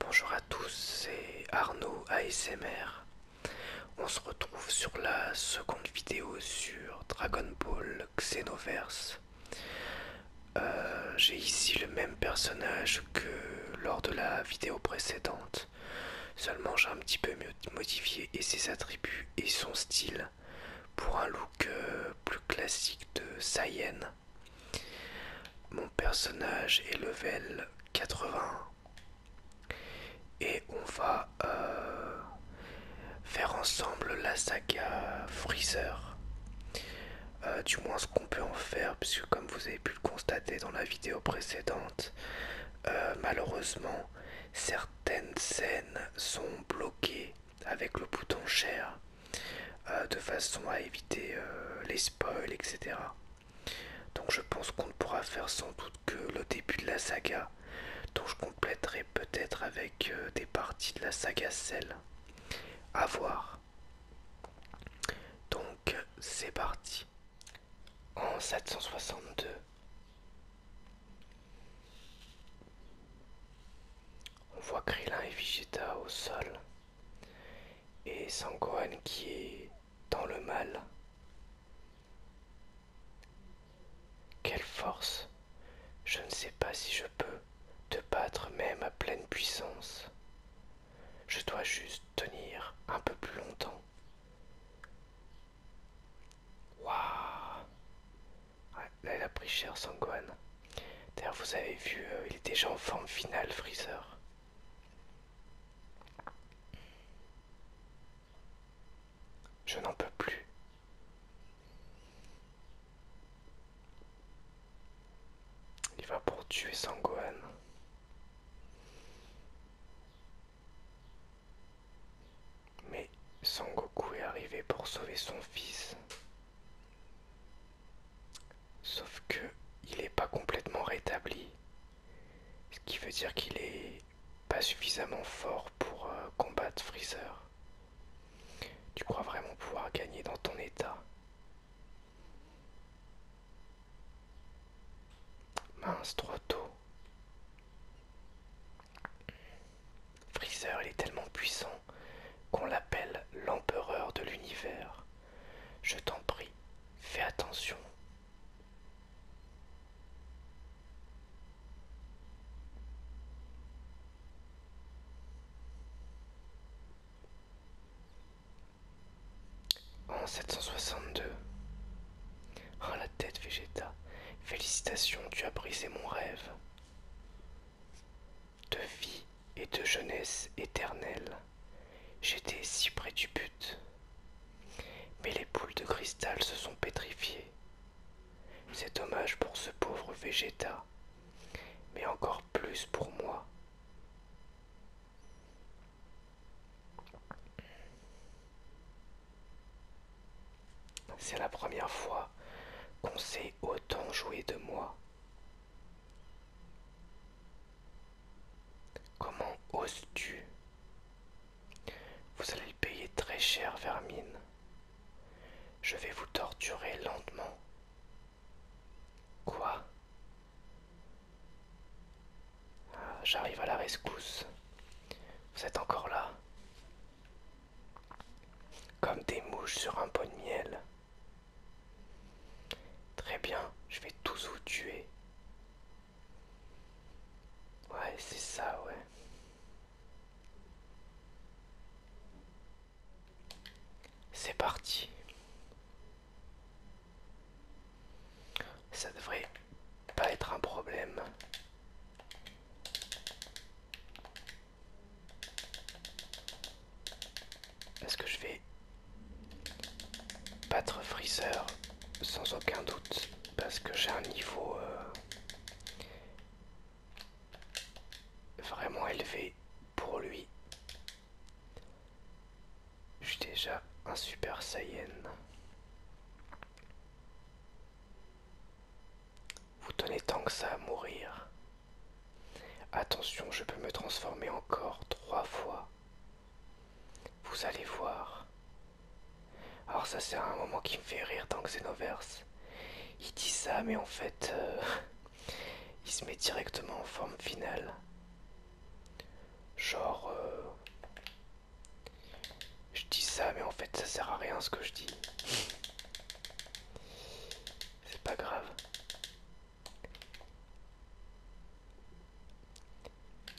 Bonjour à tous, c'est Arnaud ASMR. On se retrouve sur la seconde vidéo sur Dragon Ball Xenoverse. Euh, j'ai ici le même personnage que lors de la vidéo précédente seulement j'ai un petit peu modifié et ses attributs et son style pour un look euh, plus classique de Saiyan. Mon personnage est level 80 et on va euh, faire ensemble la saga Freezer. Euh, du moins ce qu'on peut en faire, puisque comme vous avez pu le constater dans la vidéo précédente, euh, malheureusement, certaines scènes sont bloquées avec le bouton share euh, de façon à éviter euh, les spoils, etc. Donc je pense qu'on ne pourra faire sans doute que le début de la saga, dont je compléterai peut-être avec des parties de la saga Cell. À voir. Donc c'est parti en 762. On voit Krillin et Vegeta au sol et Sangohan qui est dans le mal. Quelle force Je ne sais pas si je peux te battre même à pleine puissance. Je dois juste tenir un peu plus longtemps. Ah, là, il a pris cher Sangohan. D'ailleurs, vous avez vu, euh, il est déjà en forme finale, Freezer. Je n'en peux plus. Il va pour tuer Sangohan. Mais Sangoku est arrivé pour sauver son fils. Sauf qu'il il n'est pas complètement rétabli. Ce qui veut dire qu'il n'est pas suffisamment fort pour euh, combattre Freezer. Tu crois vraiment pouvoir gagner dans ton état Mince, trop tôt. Freezer, il est tellement puissant qu'on l'appelle l'empereur de l'univers. Je t'en prie, fais attention. En 762. à la tête, Végéta Félicitations, tu as brisé mon rêve. De vie et de jeunesse éternelle. J'étais si près du but. Mais les poules de cristal se sont pétrifiées. C'est dommage pour ce pauvre Végéta mais encore plus pour moi. C'est la première fois qu'on sait autant jouer de moi. Comment oses-tu Vous allez le payer très cher, Vermine. Je vais vous torturer lentement. Quoi ah, j'arrive à la rescousse. Vous êtes encore là Comme des mouches sur un pot de miel. Très bien, je vais tous vous tuer. Ouais, c'est ça, ouais. C'est parti. Ça devrait pas être un problème. Parce que je vais battre Freezer sans aucun doute parce que j'ai un niveau euh, vraiment élevé pour lui. Je suis déjà un super saiyan. Vous tenez tant que ça à mourir. Attention, je peux me transformer encore trois fois. Vous allez voir. Alors ça c'est un moment qui me fait rire tant dans Xenoverse. Il dit ça mais en fait euh, il se met directement en forme finale. Genre, euh, je dis ça, mais en fait, ça sert à rien ce que je dis. C'est pas grave.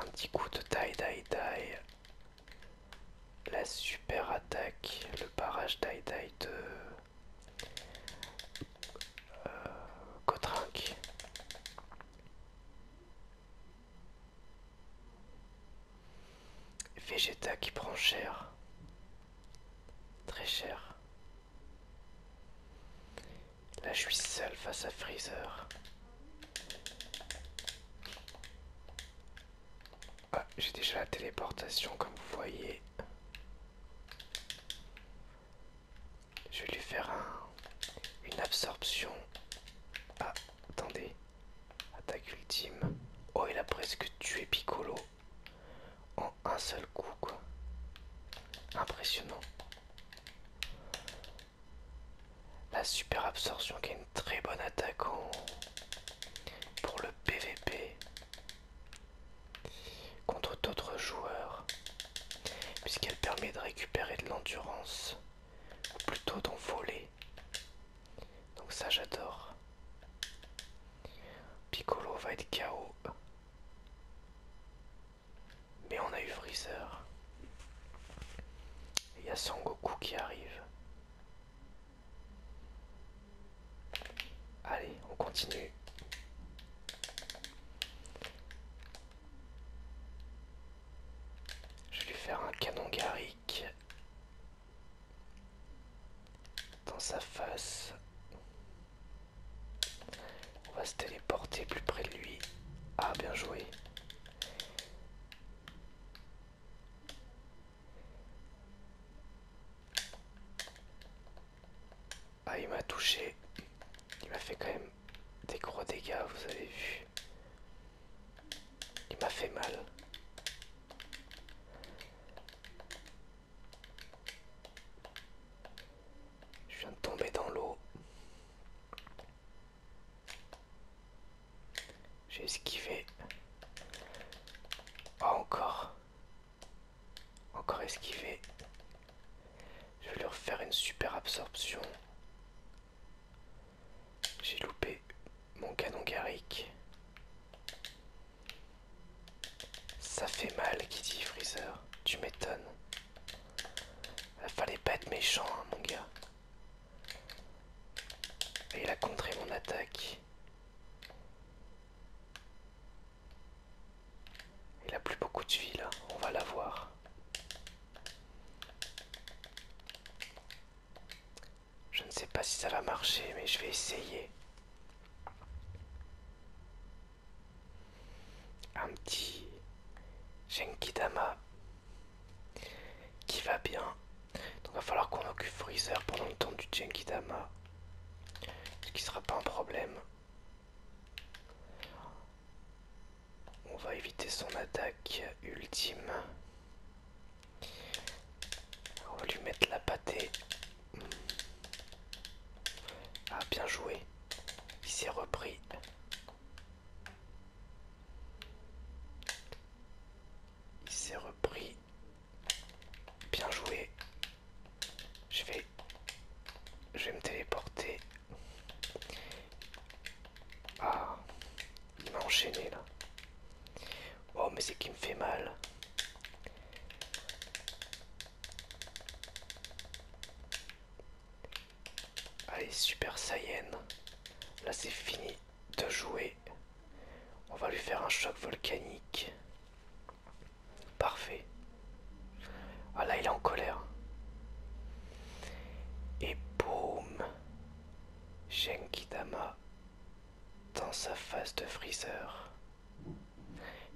Un petit coup de taille, taille, La super attaque, le barrage taille, de euh, Vegeta qui prend cher. Très cher. Là je suis seul face à Freezer. Ah, j'ai déjà la téléportation comme vous voyez. Je vais lui faire une absorption. Ah, attendez. Attaque ultime. Oh, il a presque tué Piccolo. En un seul coup, quoi. Impressionnant. La super absorption qui est une très bonne attaque pour le PVP contre d'autres joueurs puisqu'elle permet de récupérer de l'endurance, ou plutôt d'en voler. Donc ça j'adore. Piccolo va être KO. Mais on a eu Freezer. Il y a Son Goku qui arrive. Allez, on continue. Je vais lui faire un canon garrique. dans sa face. On va se téléporter plus près de lui. Ah, bien joué. Ah, il m'a touché. Il m'a fait quand même des gros dégâts, vous avez vu. Il m'a fait mal. Je viens de tomber dans l'eau. J'ai esquivé. Oh, encore. Encore esquivé. Je vais lui refaire une super absorption. J'ai loupé mon canon Garrick. Ça fait mal, qui dit Freezer. Tu m'étonnes. Euh, fallait pas être méchant, hein, mon gars. Et il a contré mon attaque. Il a plus beaucoup de vie là, on va la voir. Je ne sais pas si ça va marcher, mais je vais essayer. Un petit Jenkidama qui va bien. Donc va falloir qu'on occupe Freezer pendant le temps du dama Ce qui sera pas un problème. On va éviter son attaque ultime. On va lui mettre la pâtée. Ah, bien joué. Il s'est repris. Il s'est repris. Bien joué. Je vais je vais me téléporter. Ah, il m'a enchaîné là. Oh, mais c'est qui me fait mal. Allez, Super Saiyan. Là, c'est fini de jouer. On va lui faire un choc volcanique. Parfait. Ah là, il est en colère. Et boum Genkidama dans sa phase de freezer.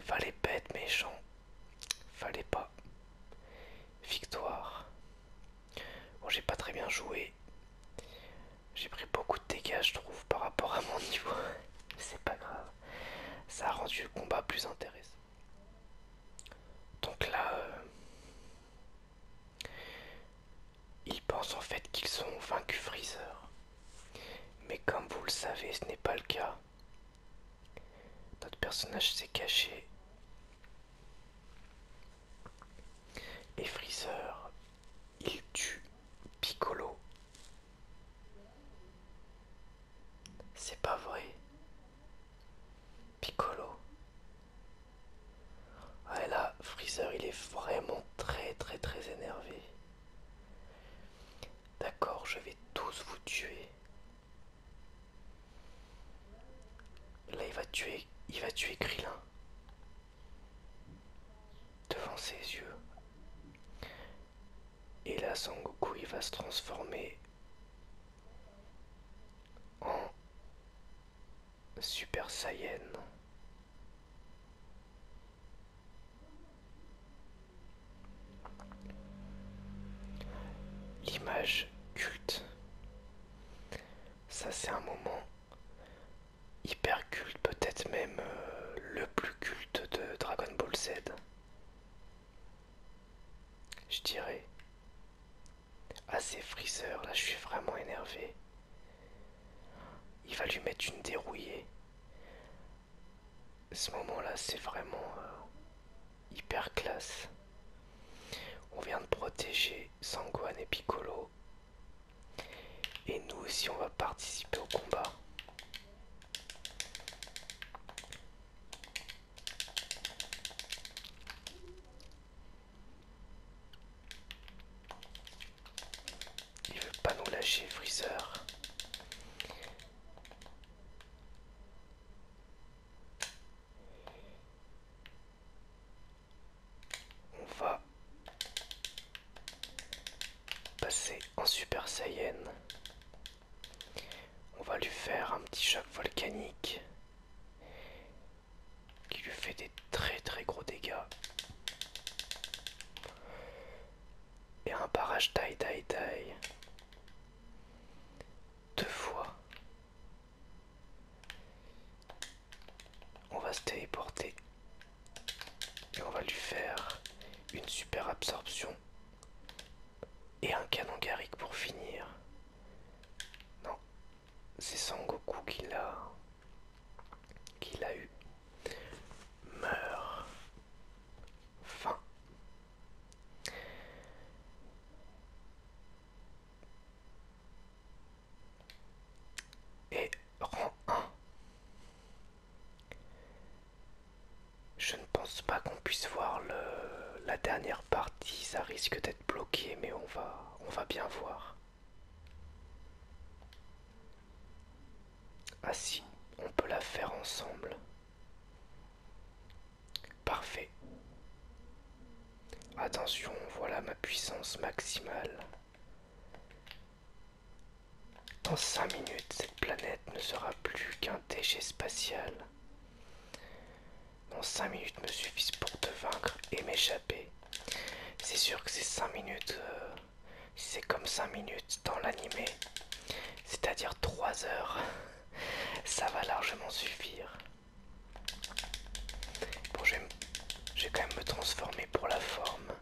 Fallait pas méchant. Fallait pas. Victoire. Bon, j'ai pas très bien joué. J'ai pris beaucoup de dégâts, je trouve, par rapport à mon niveau. C'est pas grave. Ça a rendu le combat plus intéressant. Donc là, euh, ils pensent en fait qu'ils ont vaincu Freezer. Mais comme vous le savez, ce n'est pas le cas. Notre personnage s'est caché. Et Freezer, il tue Piccolo. C'est pas vrai. Piccolo. Ah là, Freezer, il est vraiment très, très, très énervé. D'accord, je vais tous vous tuer. Là, il va tuer, il va tuer Krillin. Devant ses yeux. Et là, Sangoku, il va se transformer en Super Saiyan. L'image culte. Ça c'est un moment hyper culte, peut-être même euh, le plus culte de Dragon Ball Z. Je dirais. assez ces là, je suis vraiment énervé. Il va lui mettre une dérouillée. Ce moment-là, c'est vraiment euh, hyper classe. On vient de protéger Sangwan et Piccolo. Et nous aussi, on va participer au combat. Il veut pas nous lâcher, Freezer. On va passer en Super Saiyan. On va lui faire un petit choc volcanique qui lui fait des très très gros dégâts. Et un barrage taille taille taille. Deux fois. On va se téléporter. Et on va lui faire une super absorption et un canon Garrick pour finir. Non, c'est Sangoku qui l'a. qui l'a eu. Meurt. Fin. Et rang 1. Je ne pense pas qu'on puisse voir la dernière partie, ça risque d'être bloqué, mais on va, on va bien voir. Ah si, on peut la faire ensemble. Parfait. Attention, voilà ma puissance maximale. Dans 5 minutes, cette planète ne sera plus qu'un déchet spatial. Non, 5 minutes me suffisent pour te vaincre et m'échapper. C'est sûr que c'est 5 minutes. Euh, c'est comme 5 minutes dans l'animé. C'est-à-dire 3 heures. Ça va largement suffire. Bon, j'ai quand même me transformer pour la forme.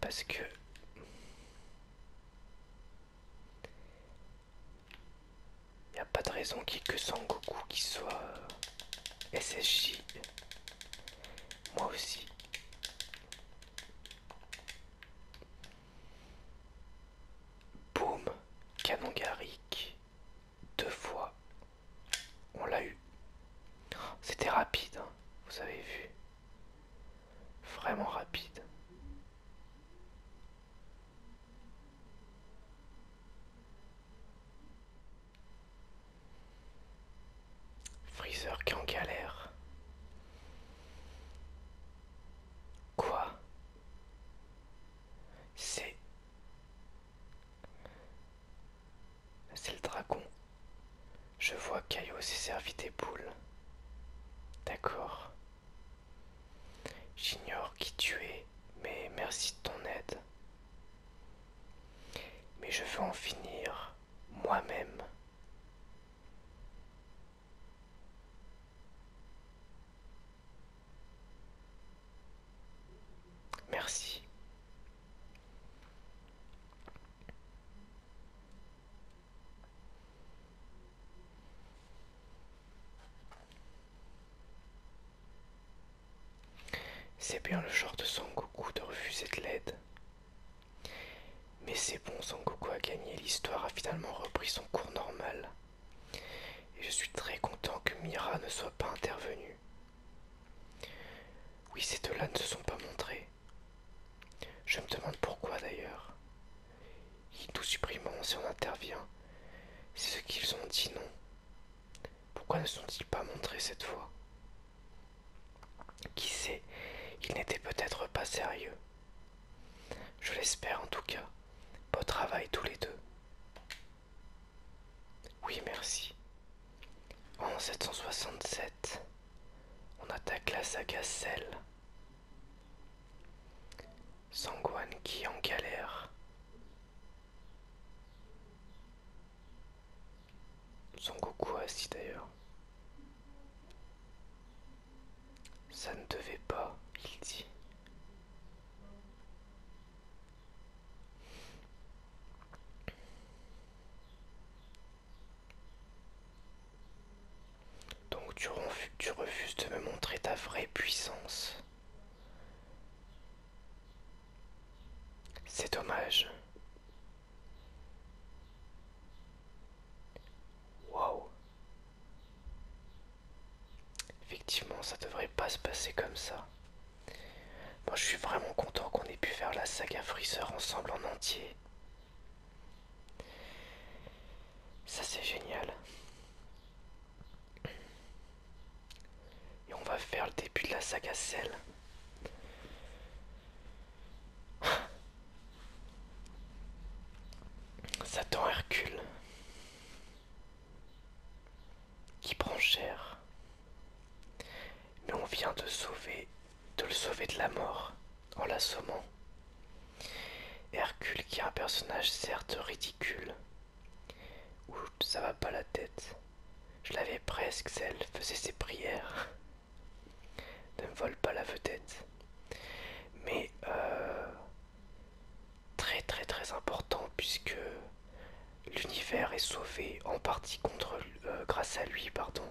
Parce que... Il n'y a pas de raison qu'il n'y ait que Sangoku qui soit euh, SSJ. Moi aussi. Boum, canon Garrick. Deux fois. On l'a eu. C'était rapide, hein. vous avez vu. Vraiment rapide. Freezer qui en galère. Quoi C'est... C'est le dragon. Je vois Caillot s'est servi des boules. D'accord. J'ignore qui tu es, mais merci de ton aide. Mais je veux en finir moi-même. Merci. C'est bien le genre de Sangoku de refuser de l'aide. Mais c'est bon, Sangoku a gagné, l'histoire a finalement repris son cours normal. Et je suis très content que Mira ne soit pas intervenue. Oui, ces deux-là ne se sont pas montrés. Je me demande pourquoi d'ailleurs. Ils nous supprimeront si on intervient. C'est ce qu'ils ont dit, non Pourquoi ne sont-ils pas montrés cette fois Qui sait, ils n'étaient peut-être pas sérieux. Je l'espère en tout cas. Beau travail tous les deux. Oui, merci. En 767, on attaque la saga Cell. Sangwan qui en galère. Son Goku assis d'ailleurs. Ça ne devait pas, il dit. Donc tu, refuses de me montrer ta vraie puissance. C'est dommage. Wow. Effectivement, ça devrait pas se passer comme ça. Moi, je suis vraiment content qu'on ait pu faire la saga Freezer ensemble en entier. Ça c'est génial. Et on va faire le début de la saga Cell. Satan Hercule. Qui prend cher. Mais on vient de sauver de le sauver de la mort en l'assommant. Hercule qui est un personnage certes ridicule. ou ça va pas la tête. Je l'avais presque, celle faisait ses prières. ne me vole pas la vedette. Mais euh, très très très important puisque l'univers est sauvé en partie contre, euh, grâce à lui, pardon.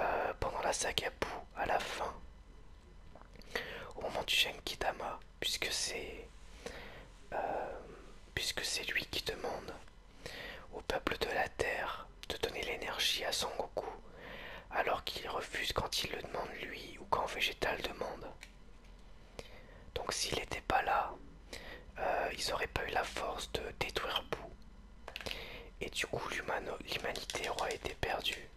Euh, pendant la saga Bou à la fin, au moment du Genkidama, puisque c'est euh, puisque c'est lui qui demande au peuple de la Terre de donner l'énergie à Son Goku, alors qu'il refuse quand il le demande lui ou quand Végétal demande. Donc s'il n'était pas là, euh, ils n'auraient pas eu la force de détruire Bou et du coup, l'humanité aura été perdue.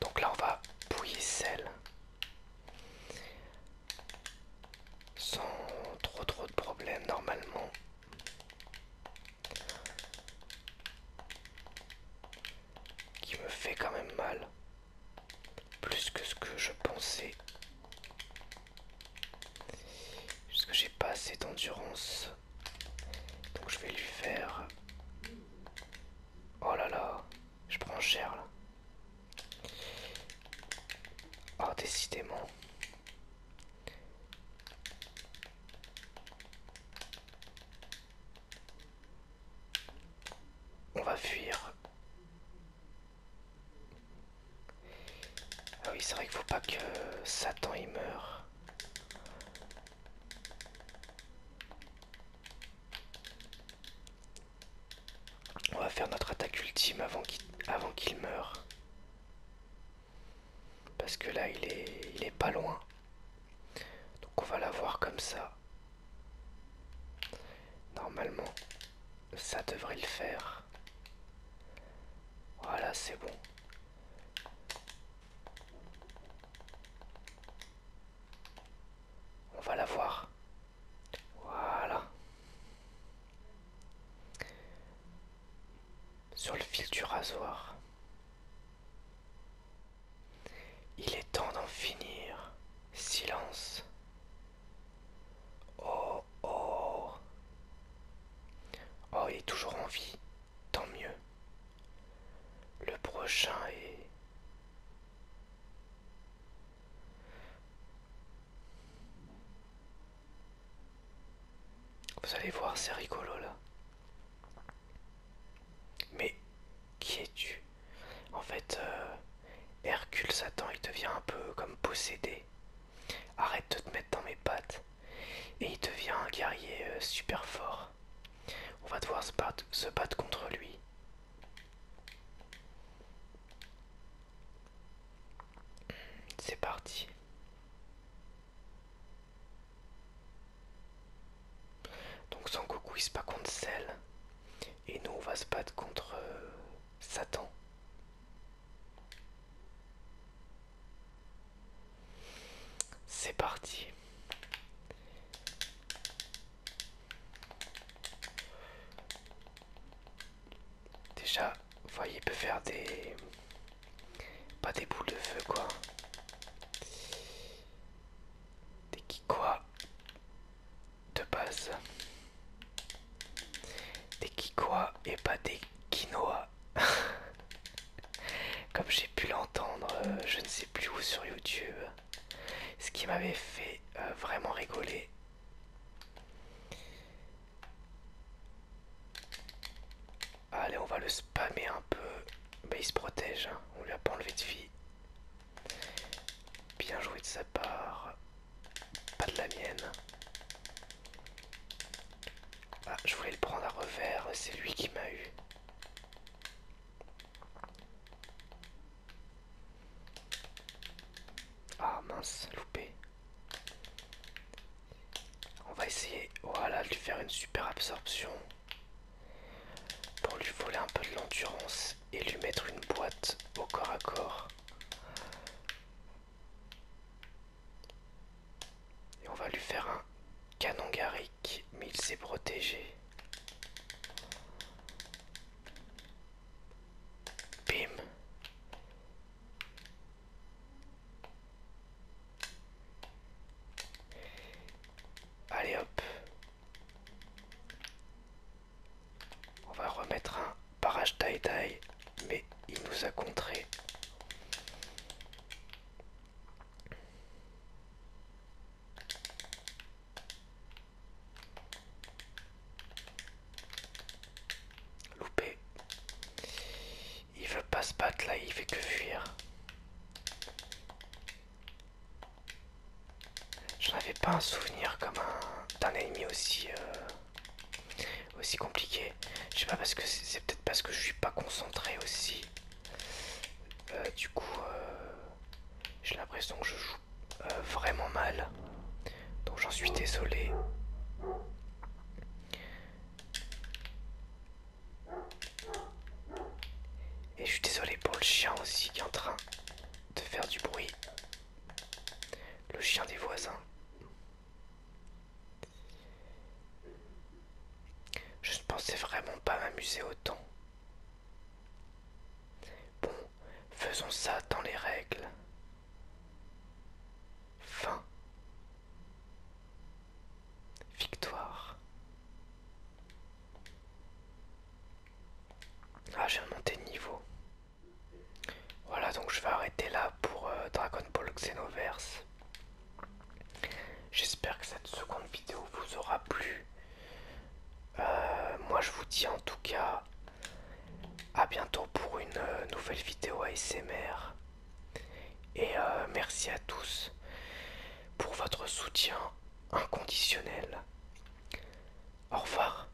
Donc là, on va bouillir celle. Sans trop trop de problèmes normalement. Qui me fait quand même mal. Plus que ce que je pensais. Parce que j'ai pas assez d'endurance. Donc je vais lui faire... Oh là là, je prends cher là. Oh décidément. On va fuir. Ah oui, c'est vrai qu'il faut pas que Satan y meure. On va faire notre attaque ultime avant qu'il meure. Parce que là il est il est pas loin. Donc on va l'avoir comme ça. Normalement. Ça devrait le faire. Voilà, c'est bon. On va la voir. Voilà. Sur le fil du rasoir. Il est temps d'en finir. Silence. Oh. Oh oh il est toujours en vie. Tant mieux. Le prochain est... Vous allez voir, c'est rigolo là. Mais qui es-tu En fait, euh, Hercule Satan, il devient un peu comme possédé. Arrête de te mettre dans mes pattes. Et il devient un guerrier euh, super fort. On va devoir se battre, contre lui. C'est parti. Donc coucou, il se bat contre Cell. Et nous on va se battre contre euh, Satan. C'est parti. Déjà, vous voyez, peut faire des... Pas des boules de feu, quoi. Des qui quoi De base. Des Kikoa et pas des Quinoa. Comme j'ai pu l'entendre, euh, je ne sais plus où sur YouTube. Ce qui m'avait fait euh, vraiment rigoler. Allez, on va le spammer un peu. mais il se protège, on hein. on lui a pas enlevé de vie. Bien joué de sa part. Pas de la mienne. Ah, je voulais le prendre à revers, c'est lui qui m'a eu. Ah mince, loupé. On va essayer, voilà, de lui faire une super absorption. Pour lui voler un peu de l'endurance et lui mettre une boîte au corps à corps. Et on va lui faire un canon Garrick, mais il s'est protégé. Bim. Allez hop. On va remettre un Parage taï taille, mais il nous a contrés. Loupé. Il veut pas se battre là, il fait que fuir. Je n'avais pas un souvenir comme un d'un ennemi aussi. Euh, aussi compliqué. Je sais pas parce que c'est peut-être parce que je suis pas concentré aussi. Euh, du coup, euh, j'ai l'impression que je joue euh, vraiment mal. Donc j'en suis désolé. Et je suis désolé pour le chien aussi qui est en train de faire du bruit. Le chien des voisins. Je ne pensais vraiment pas m'amuser autant. Bon, faisons ça dans les règles. Fin. Victoire. Ah, j'ai remonté de niveau. Voilà, donc je vais arrêter là pour euh, Dragon Ball Xenoverse. J'espère que cette seconde vidéo vous aura plu. Euh, moi, je vous dis en tout cas à bientôt pour une euh, nouvelle vidéo ASMR. Et merci à tous pour votre soutien inconditionnel. Au revoir.